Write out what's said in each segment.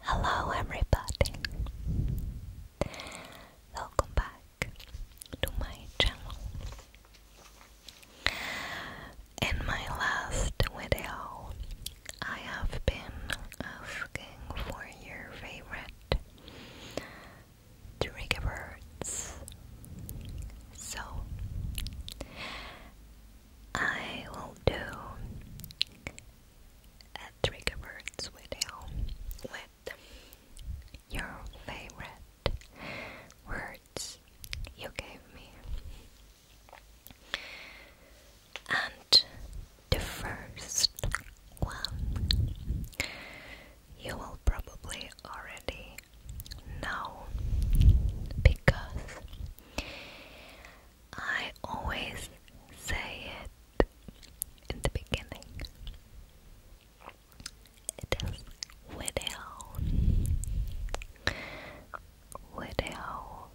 Hello, everybody! Welcome back to my channel. In my last video, I have been asking for your favorite trigger words. So, I will do a trigger words video with your favorite words you gave me. And the first one you will probably already know because I always say it in the beginning. It is widow. Widow.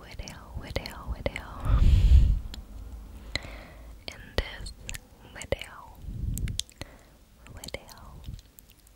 Widow, widow, widow. In this video, video,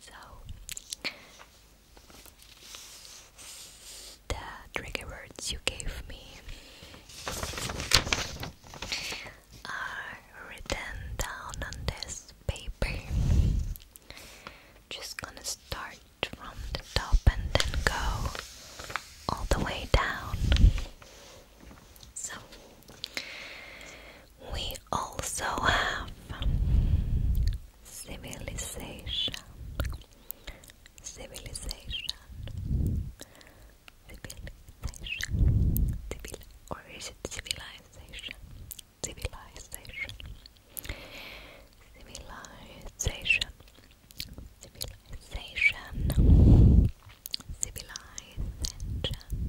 So the trigger words you gave me are written down on this paper. Just gonna start from the top and then go all the way down. So we also have civilization, civilization, civilization, civil, or is it civilization? Civilization, civilization, civilization, civilization.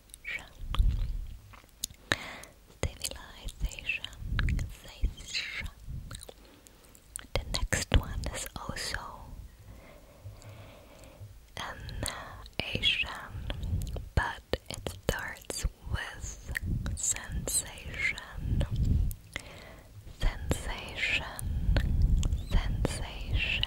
civilization, civilization. The next one is also an Asian, but it starts with sensation, sensation, sensation.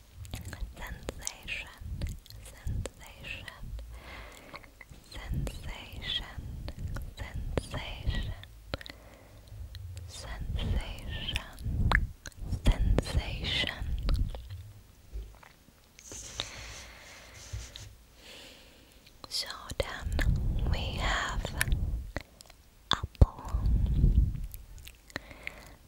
sensation, sensation, sensation, sensation, sensation, sensation. So then we have apple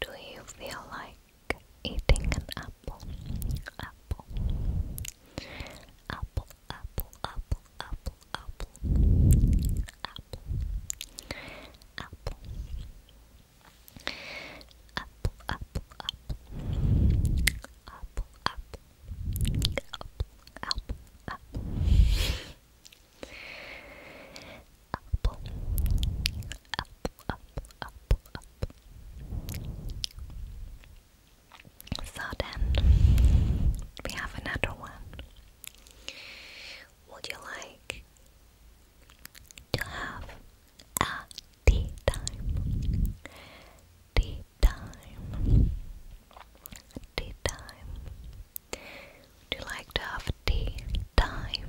do you feel like eating an apple? Apple, apple, apple, apple, apple, apple, apple, apple, apple, apple, apple, apple, apple, up, So then we have another one. Would you like to have a tea time? Tea time. Tea time. Would you like to have tea time?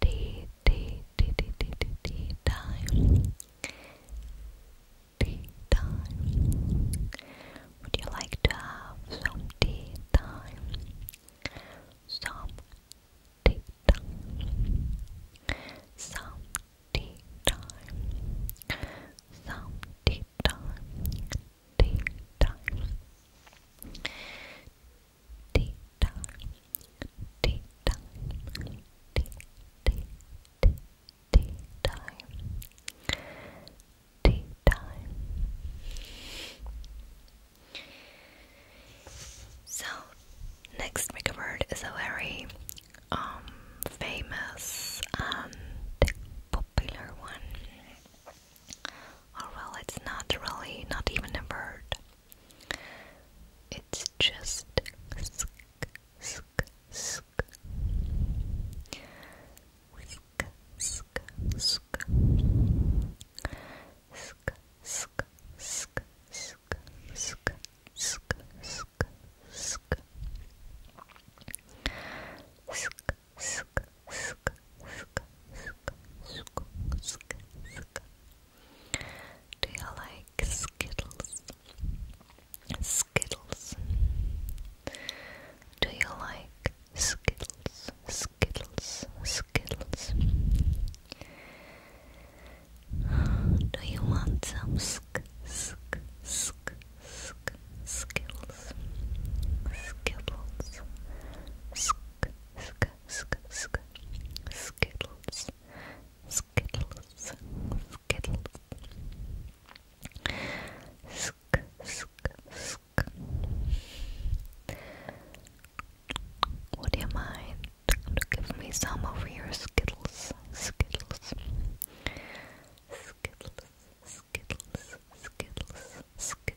tea, tea, tea, tea, tea, tea, tea time. Tea time. Would you like to have some tea time? Some tea time. Some tea time. Some tea time. Tea time. Tea time tea time, tea time, tea, tea, tea, tea time, tea time. So, next make a word is a very um famous and um, popular one. Or well, it's not really, not even a bird. It's just do you like Skittles? Skittles. Do you like Skittles? Skittles. Skittles. Do you want some sk sk sk sk skittles? Skittles sk sk skittles skittles skittles sk sk sk Would you mind to give me some of your skittles skittles Skittles, skittles, skittles, skittles, skittles,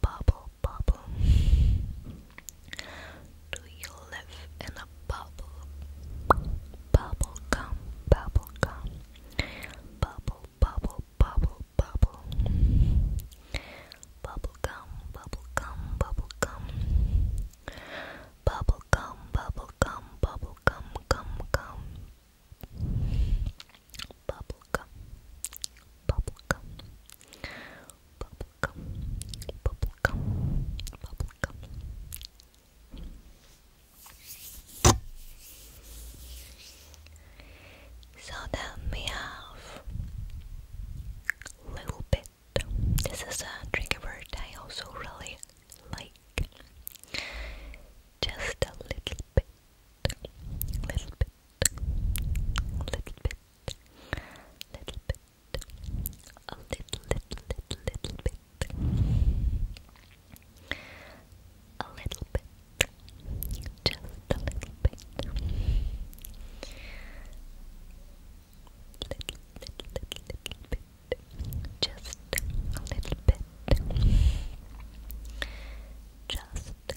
bubble, bubble? Do you live in a bubble? Bubble gum, bubble gum, bubble, bubble, bubble, bubble, bubble gum, bubble gum, bubble gum, bubble gum, bubble gum, bubble gum, gum gum bubblegum, bubblegum, bubblegum, bubblegum, bubblegum. So then we have little bit. This is a trigger word I also really like. Just a little bit little bit, little little bit, a little, little, little, little bit, a little bit, just a little bit, little, little, little, little bit. Just a little bit. Just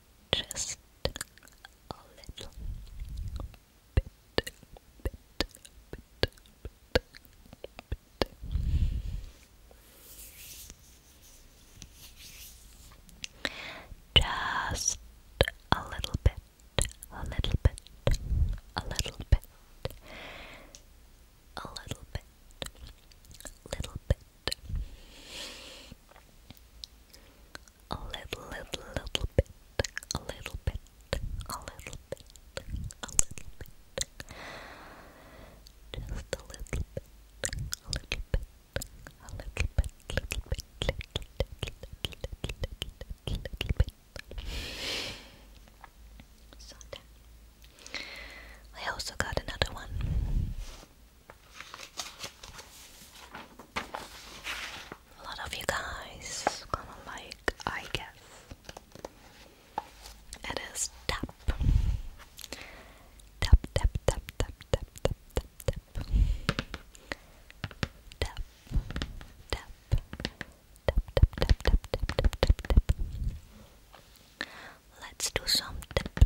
Just a little bit, bit, bit, bit, a little bit, a little bit, a little bit, a little bit, little bit, a little, little, little bit, a little bit, a little bit, a little bit, just a little bit, a little bit, a little bit, little bit, little, little, bit. I also got another one. A lot of you guys gonna like, I guess. It is tap. Tap, tap, tap, tap, tap, tap, tap, tap. Tap, tap, tap, tap, tap, tap, tap, tap, Let's do some tap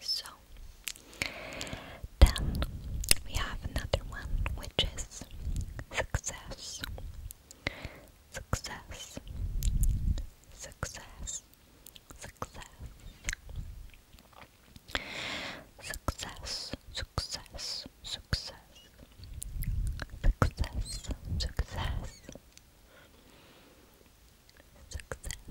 So then we have another one which is success. Success. Success. Success. Success. Success. Success. Success. Success. Success.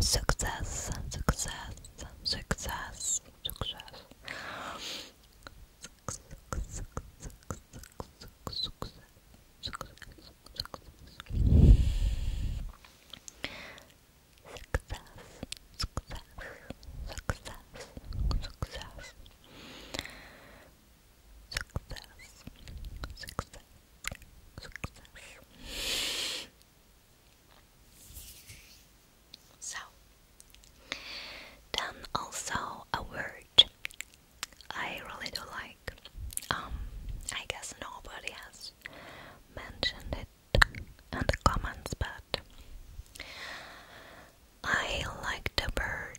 Success, success, success, success. Success, success, success, success, success, success. So, then also a word I really do like. Um, I guess nobody has mentioned it in the comments, but I like the bird.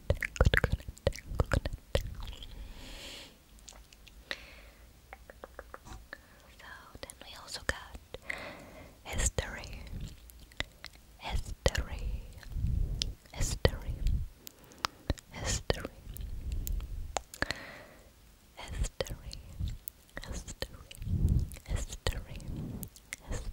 coconut, coconut. So then we also got history, history, history, history, history, history, history, history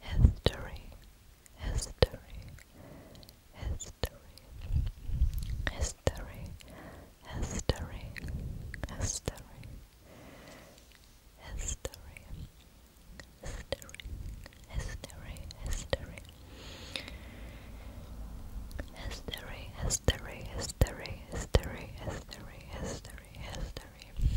History, history, history, history, history, history, history, history, history, history. History, history, history, history, history, history, history.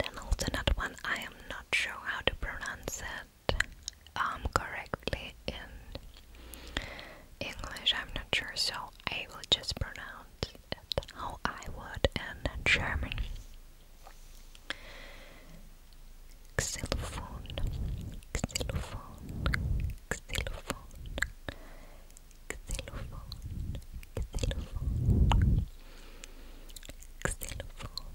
and then one I am not sure how to pronounce it um, correctly in English. I'm not sure, so I will just pronounce it how I would in German. Xylophone, xylophone, xylophone, xylophone, xylophone, xylophone,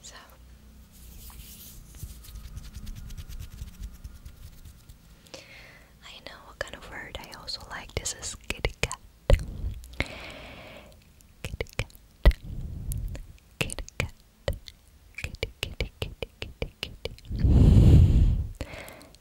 So I know what kind of word I also like. This is kitty cat. Kitty cat. Kitty cat. Kitty kitty kitty kitty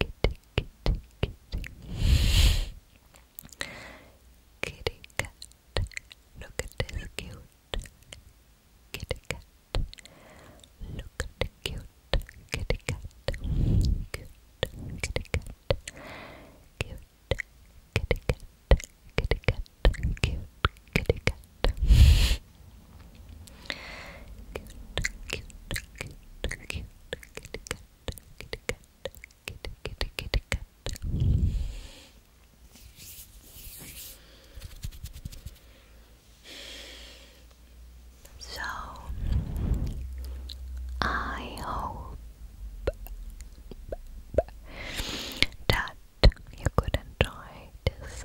kitty, kitty, kitty. Kitty cat, look at this cute kitty cat. Look at the cute kitty cat. Cute kitty cat. Cute kitty cat. Kitty cat. Cute kitty cat. So I hope that you could enjoy this